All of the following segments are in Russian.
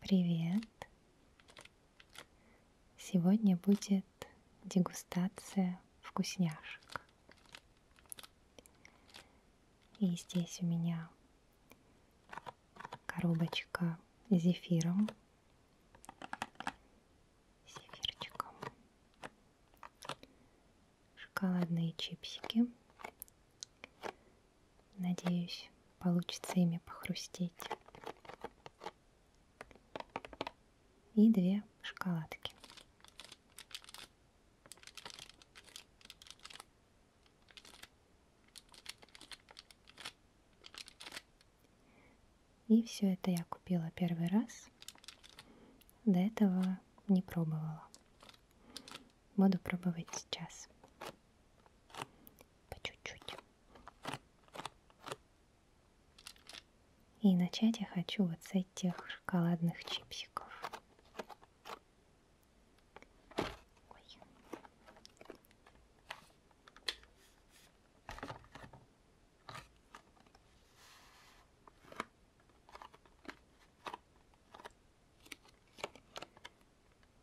Привет! Сегодня будет дегустация вкусняшек. И здесь у меня коробочка с зефиром. Зефирчиком. Шоколадные чипсики. Надеюсь, получится ими похрустеть. И две шоколадки. И все это я купила первый раз. До этого не пробовала. Буду пробовать сейчас. По чуть-чуть. И начать я хочу вот с этих шоколадных чипсиков. Ой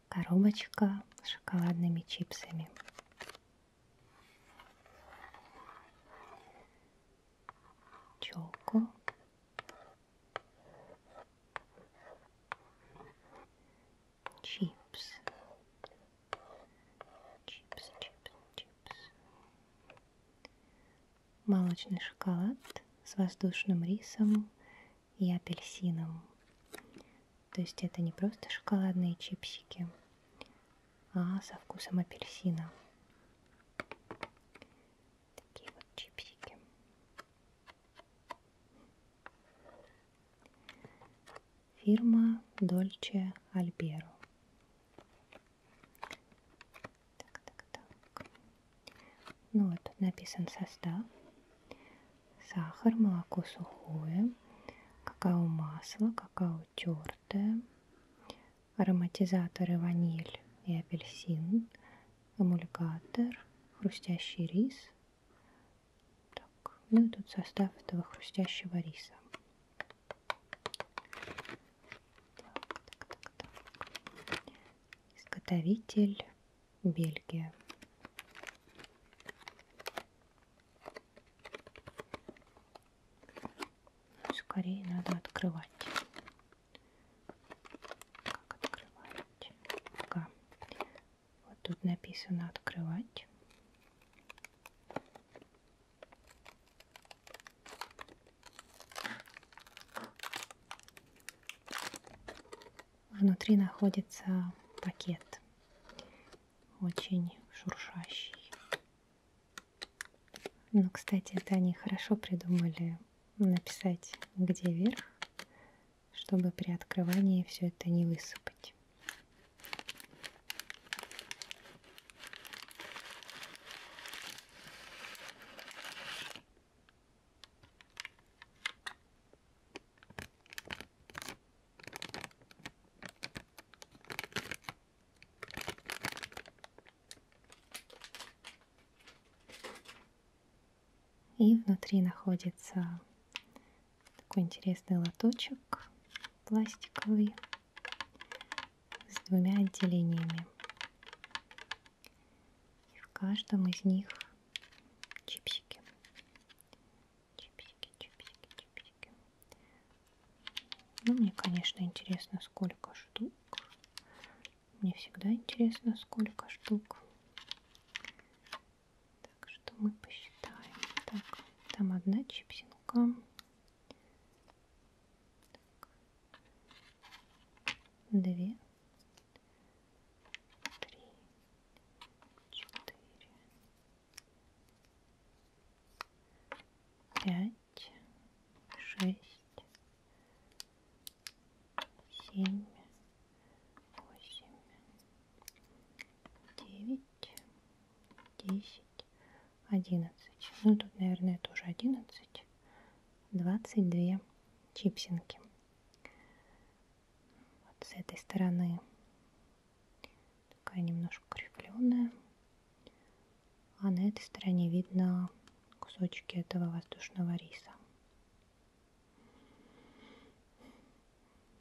коробочка с шоколадными чипсами. Челку. Чипс. Чипс, чипс, чипс. Молочный шоколад с воздушным рисом и апельсином. То есть это не просто шоколадные чипсики, а со вкусом апельсина. Такие вот чипсики. Фирма Dolce Albero. Так, так, так. Ну вот, написан состав. Сахар, молоко сухое, какао-масло, какао тертое, ароматизаторы ваниль и апельсин, эмульгатор, хрустящий рис. Так, ну и тут состав этого хрустящего риса. Так, так, так, изготовитель Бельгия. Скорее надо открывать. Как открывать? Ага. Вот тут написано открывать. Внутри находится пакет, очень шуршащий. Ну, кстати, это они хорошо придумали написать, где вверх, чтобы при открывании все это не высыпать. И внутри находится такой интересный лоточек пластиковый с двумя отделениями. И в каждом из них чипсики. Чипсики, чипсики, чипсики. Ну, мне, конечно, интересно, сколько штук. Мне всегда интересно, сколько штук. Так что мы посчитаем. Так, там одна чипсинка. Так. Две три, четыре, пять, шесть, семь, восемь, девять, десять, одиннадцать. Ну тут, наверное, тоже одиннадцать. Двадцать две чипсинки. Вот с этой стороны такая немножко кривленная. А на этой стороне видно кусочки этого воздушного риса.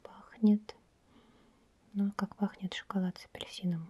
Пахнет, ну а как пахнет шоколад с апельсином.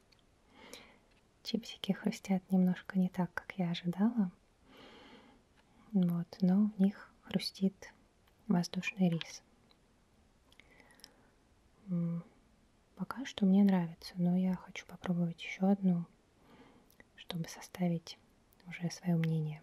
Чипсики хрустят немножко не так, как я ожидала. Вот, но в них хрустит воздушный рис. Пока что мне нравится, но я хочу попробовать еще одну, чтобы составить уже свое мнение.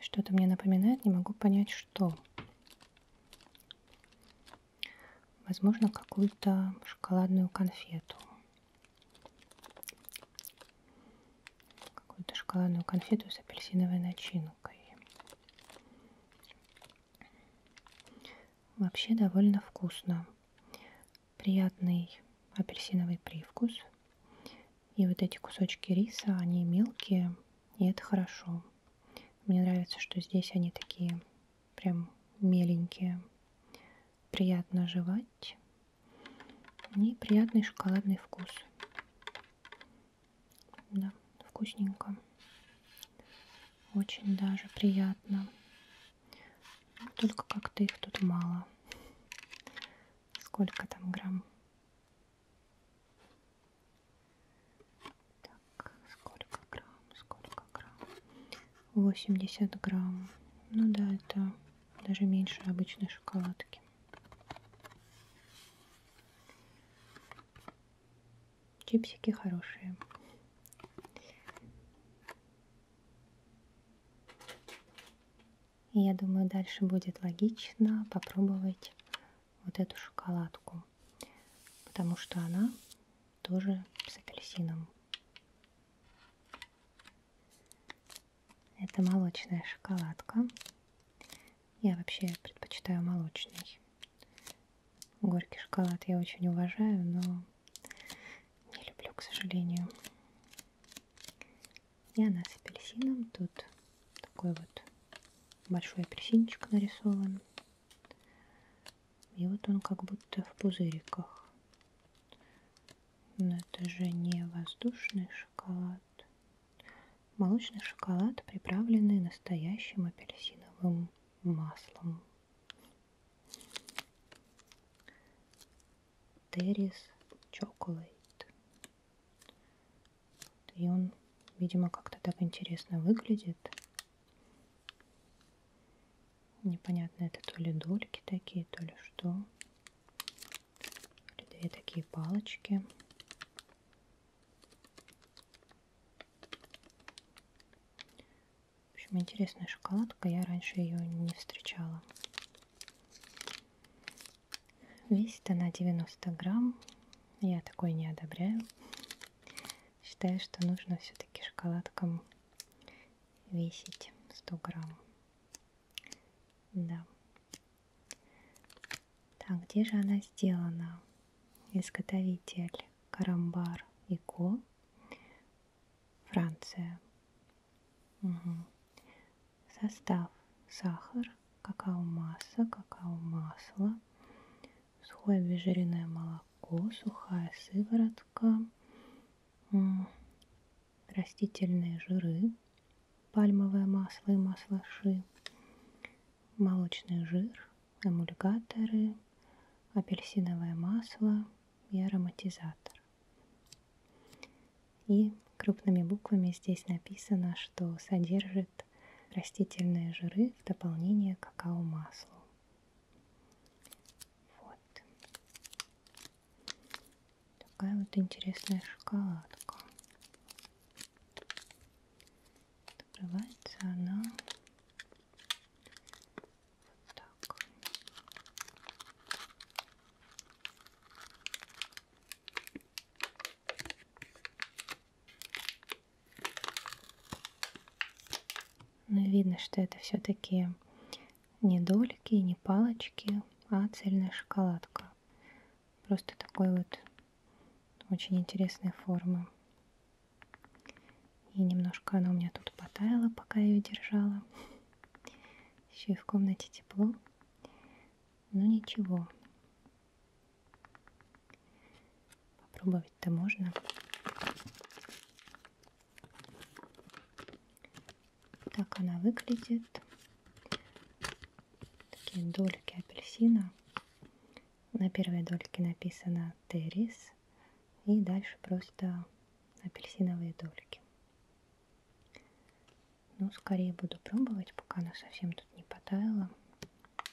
Что-то мне напоминает, не могу понять, что. Возможно, какую-то шоколадную конфету. Какую-то шоколадную конфету с апельсиновой начинкой. Вообще довольно вкусно. Приятный апельсиновый привкус. И вот эти кусочки риса, они мелкие, и это хорошо. Мне нравится, что здесь они такие прям меленькие. Приятно жевать. И приятный шоколадный вкус. Да, вкусненько. Очень даже приятно. Только как-то их тут мало. Сколько там грамм? Так, сколько грамм, сколько грамм? 80 грамм. Ну да, это даже меньше обычной шоколадки. Чипсики хорошие. И я думаю, дальше будет логично попробовать вот эту шоколадку, потому что она тоже с апельсином. Это молочная шоколадка. Я вообще предпочитаю молочный. Горький шоколад я очень уважаю, но не люблю, к сожалению. И она с апельсином. Тут такой вот большой апельсинчик нарисован. И вот он как будто в пузыриках. Но это же не воздушный шоколад. Молочный шоколад, приправленный настоящим апельсиновым маслом. Террис Chocolate. И он, видимо, как-то так интересно выглядит. Непонятно, это то ли дольки такие, то ли что. Или две такие палочки. В общем, интересная шоколадка. Я раньше ее не встречала. Весит она 90 грамм. Я такой не одобряю. Считаю, что нужно все-таки шоколадкам весить 100 грамм. Да. Так, где же она сделана? Изготовитель Карамбар и Ко. Франция. Угу. Состав сахар, какао-масса, какао-масло, сухое обезжиренное молоко, сухая сыворотка, растительные жиры, пальмовое масло и маслаши, молочный жир, эмульгаторы, апельсиновое масло и ароматизатор. И крупными буквами здесь написано, что содержит содержит растительные жиры в дополнение к какао-маслу. Вот. Такая вот интересная шоколадка. Открывается она вот так. Но ну видно, что это все-таки не дольки, не палочки, а цельная шоколадка. Просто такой вот очень интересной формы. И немножко она у меня тут потаяла, пока я ее держала. Еще и в комнате тепло. Но ничего, Попробовать-то можно. Так она выглядит. Такие дольки апельсина. На первой дольке написано террис. И дальше просто апельсиновые дольки. Ну, скорее буду пробовать, пока она совсем тут не потаяла.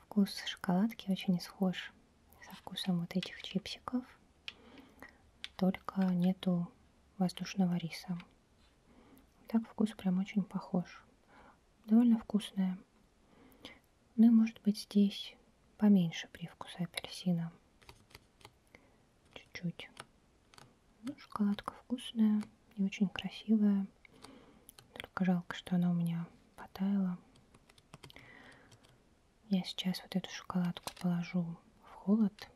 Вкус шоколадки очень схож со вкусом вот этих чипсиков, только нету воздушного риса. Так вкус прям очень похож. Довольно вкусная. Ну и может быть здесь поменьше привкуса апельсина. Чуть-чуть. Ну, шоколадка вкусная и очень красивая. Только жалко, что она у меня потаяла. Я сейчас вот эту шоколадку положу в холод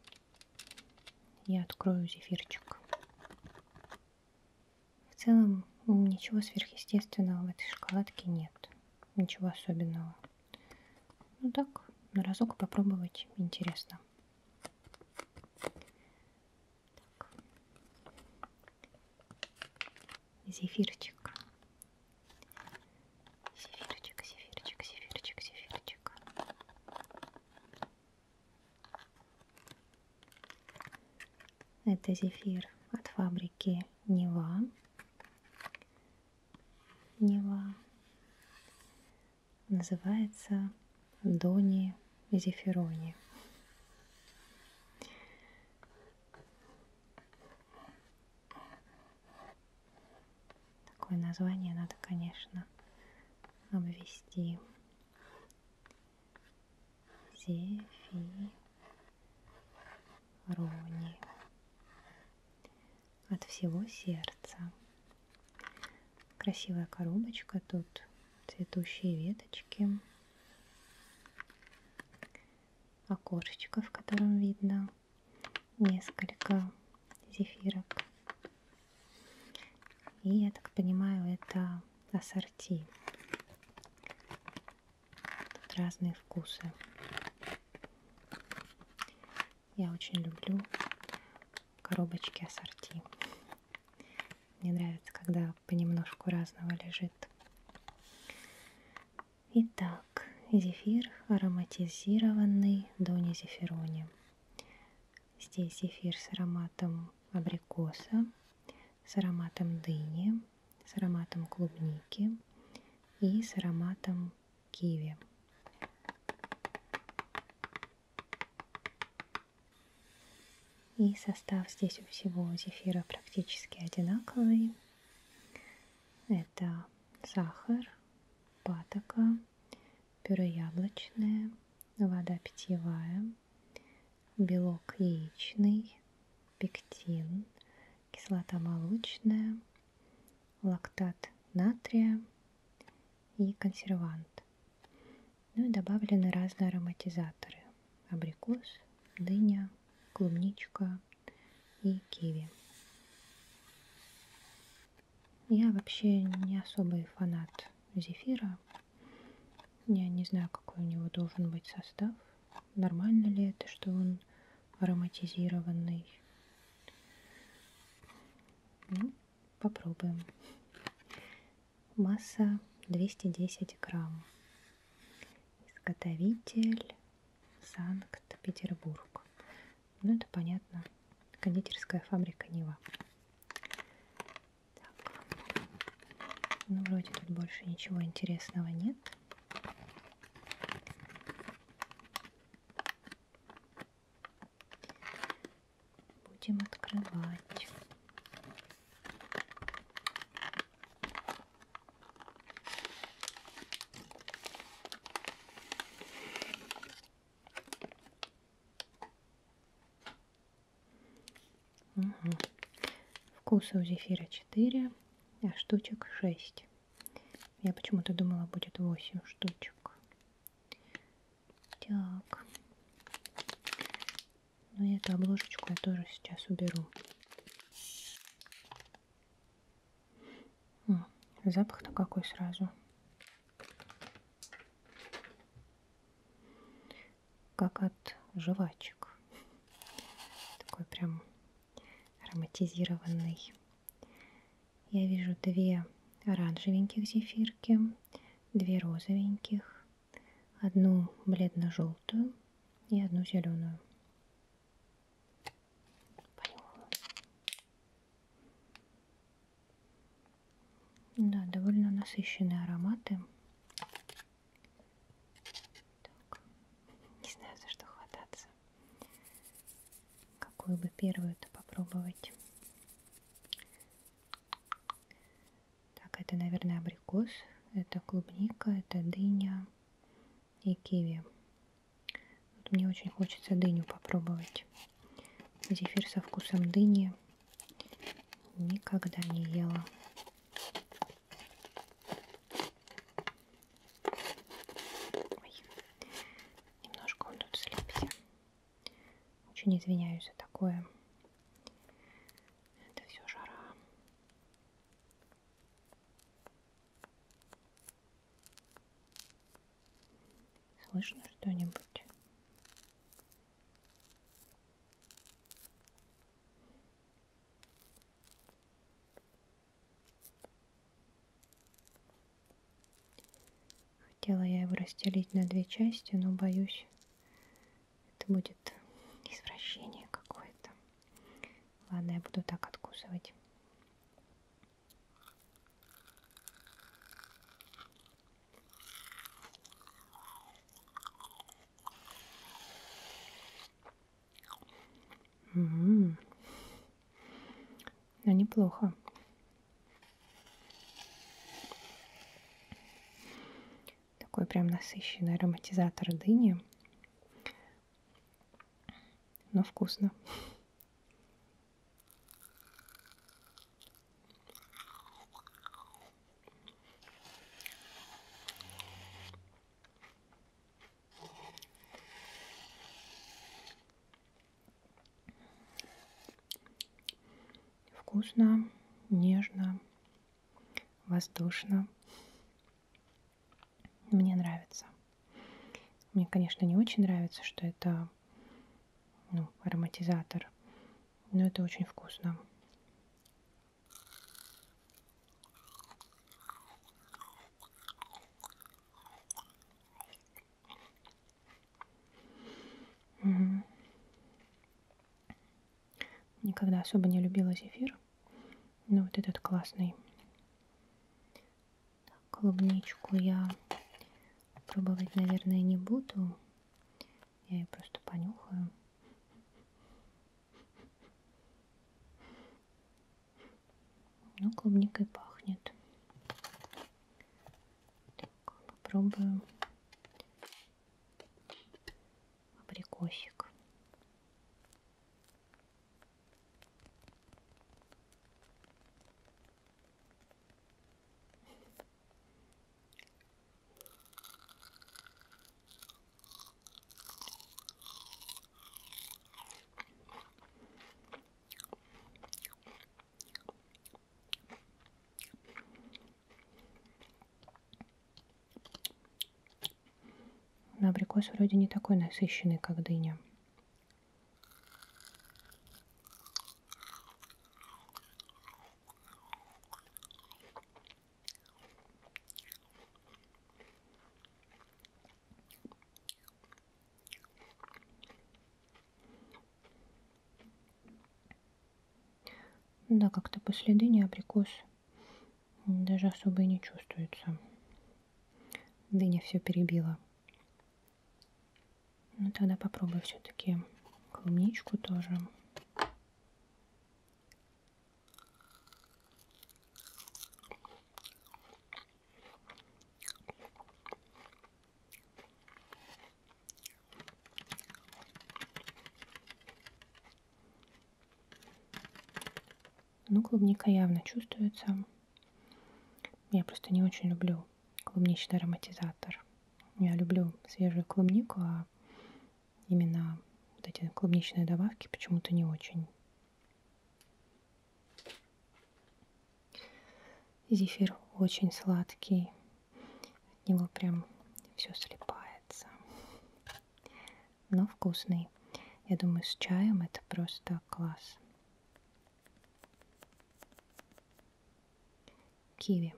и открою зефирчик. В целом ничего сверхъестественного в этой шоколадке нет. Ничего особенного. Ну так, на разок попробовать интересно. Так. Зефирчик. Зефирчик, зефирчик, зефирчик, зефирчик. Это зефир от фабрики Нева. Нева. Называется Дони Зефирони. Такое название надо, конечно, обвести. Зефирони. От всего сердца. Красивая коробочка, тут цветущие веточки окошечко, в котором видно несколько зефирок. И я так понимаю, это ассорти. Тут разные вкусы. Я очень люблю коробочки ассорти. Мне нравится, когда понемножку разного лежит. Итак, зефир ароматизированный Дони Зефирони. Здесь зефир с ароматом абрикоса, с ароматом дыни, с ароматом клубники и с ароматом киви. И состав здесь у всего зефира практически одинаковый. Это сахар, патока, пюре яблочное, вода питьевая, белок яичный, пектин, кислота молочная, лактат натрия и консервант. Ну и добавлены разные ароматизаторы. Абрикос, дыня, клубничка и киви. Я вообще не особый фанат зефира. Я не знаю, какой у него должен быть состав. Нормально ли это, что он ароматизированный? Ну, попробуем масса 210 грамм. Изготовитель Санкт-Петербург. Ну, это понятно. Кондитерская фабрика Нива. Так. Ну, вроде тут больше ничего интересного нет. Будем открывать. Угу. Вкуса у зефира 4, а штучек 6. Я почему-то думала, будет 8 штучек. Так. Но ну, и эту обложечку я тоже сейчас уберу. Запах-то какой сразу. Как от жвачек. Такой прям ароматизированный. Я вижу две оранжевеньких зефирки, две розовеньких, одну бледно-желтую и одну зеленую. Да, довольно насыщенные ароматы. Так. Не знаю, за что хвататься. Какую бы первую-то попробовать. Так, это, наверное, абрикос, это клубника, это дыня и киви. Вот мне очень хочется дыню попробовать. Зефир со вкусом дыни никогда не ела. Ой. Немножко он тут слипся. Очень извиняюсь за такое. Это все жара. Слышно что-нибудь? Хотела я его расстелить на две части, но боюсь, это будет извращение какое-то. Ладно, я буду так откусывать. Угу. Ну, Но неплохо. Такой прям насыщенный ароматизатор дыни. Но вкусно. Вкусно, нежно, воздушно. Мне нравится. Мне, конечно, не очень нравится, что это ну, ароматизатор, но это очень вкусно. Угу. Никогда особо не любила зефир. Но ну, вот этот классный. Так, клубничку я пробовать, наверное, не буду. Я ее просто понюхаю. Ну, клубникой пахнет. Так, попробую абрикосик. Но абрикос вроде не такой насыщенный, как дыня. Ну да, как-то после дыни абрикос даже особо и не чувствуется. Дыня все перебила. Ну тогда попробую все-таки клубничку тоже. Ну, клубника явно чувствуется. Я просто не очень люблю клубничный ароматизатор. Я люблю свежую клубнику, а именно вот эти клубничные добавки почему-то не очень. Зефир очень сладкий. От него прям все слипается. Но вкусный. Я думаю, с чаем это просто класс. Киви.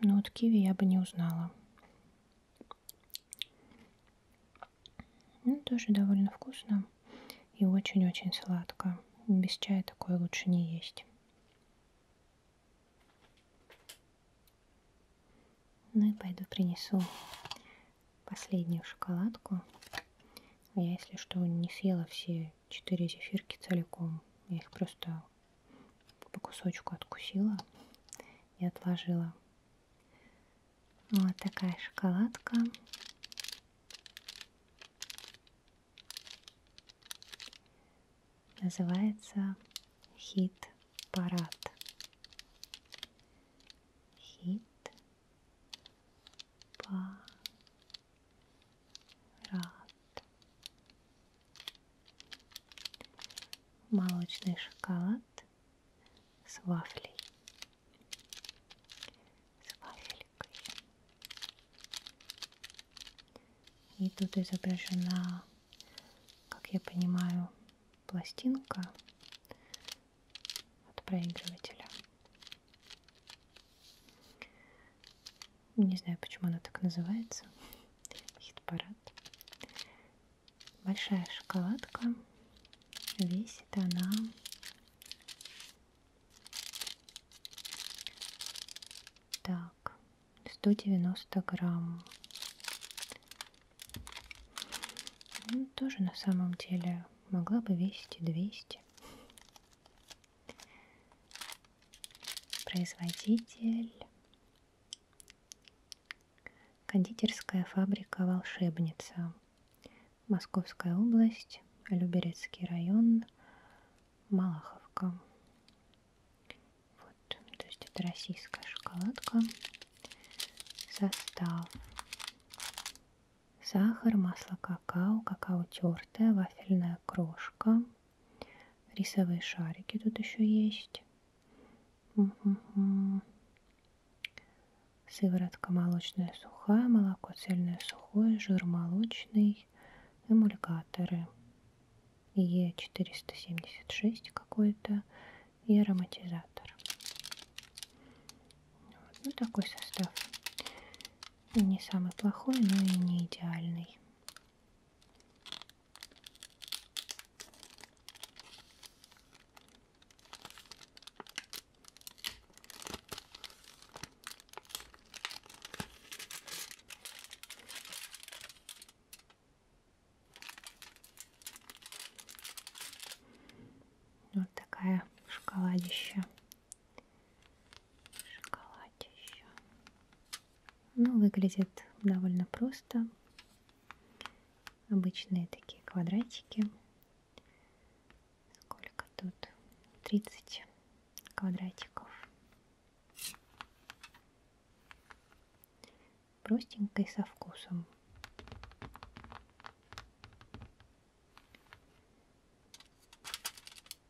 Но ну, вот киви я бы не узнала. Ну, тоже довольно вкусно и очень-очень сладко. Без чая такое лучше не есть. Ну и пойду принесу последнюю шоколадку. Я, если что, не съела все четыре зефирки целиком. Я их просто по кусочку откусила и отложила. Вот такая шоколадка. Называется хит-парад. Хит-парад рад. Молочный шоколад с вафлей. С вафелькой. И тут изображена, как я понимаю, пластинка от проигрывателя. Не знаю, почему она так называется. Хит-парад. Большая шоколадка. Весит она 190 грамм. Ну, тоже на самом деле могла бы весить и 200. Производитель. Кондитерская фабрика «Волшебница». Московская область, Люберецкий район, Малаховка. Вот, то есть это российская шоколадка. Состав. Сахар, масло какао, какао тертое, вафельная крошка – Рисовые шарики тут еще есть. Угу. Сыворотка молочная сухая, молоко цельное сухое, жир молочный, эмульгаторы. Е476 какой-то и ароматизатор. Вот. Ну, такой состав. Не самый плохой, но и не идеальный. Вот такая шоколадища шоколаде еще. Ну, выглядит довольно просто. Обычные такие квадратики. Сколько тут? 30 квадратиков. Простенько и со вкусом.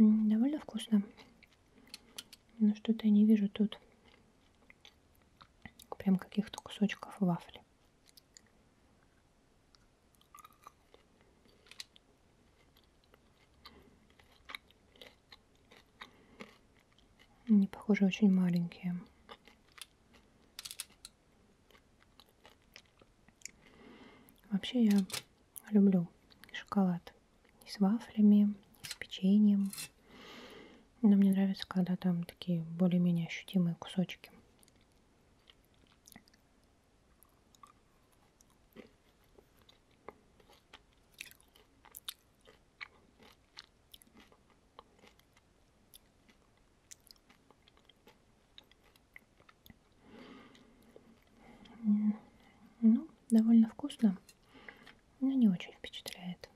Довольно вкусно. Но что-то я не вижу тут прям каких-то кусочков вафли. Они, похоже, очень маленькие. Вообще я люблю шоколад и с вафлями, и с печеньем. Но мне нравится, когда там такие более-менее ощутимые кусочки. Ну, довольно вкусно, но не очень впечатляет.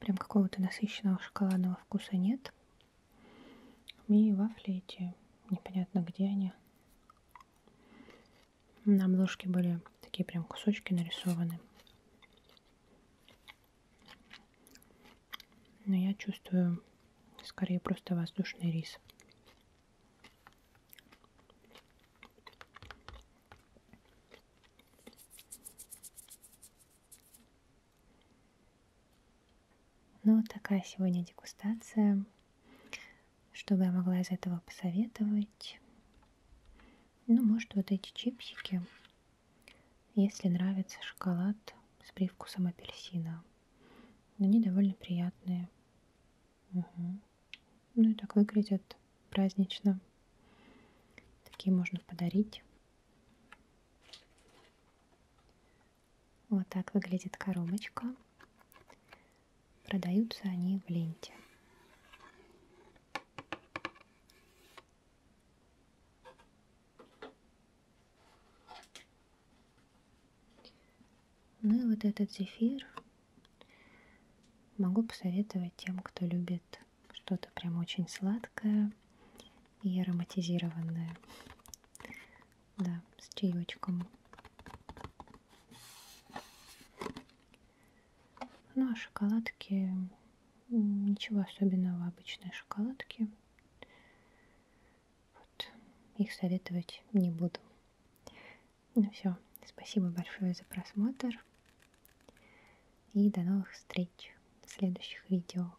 Прям какого-то насыщенного шоколадного вкуса нет. И вафли эти, непонятно где они. На обложке были такие прям кусочки нарисованы. Но я чувствую скорее просто воздушный рис. Ну, вот такая сегодня дегустация. Что бы я могла из этого посоветовать? Ну, может, вот эти чипсики, если нравится шоколад с привкусом апельсина. Они довольно приятные. Угу. Ну и так выглядят празднично. Такие можно подарить. Вот так выглядит коробочка. Продаются они в ленте. Ну и вот этот зефир могу посоветовать тем, кто любит что-то прям очень сладкое и ароматизированное да, с чаечком. Ну а шоколадки, ничего особенного, обычные шоколадки. Вот, их советовать не буду. Ну все, спасибо большое за просмотр. И до новых встреч в следующих видео.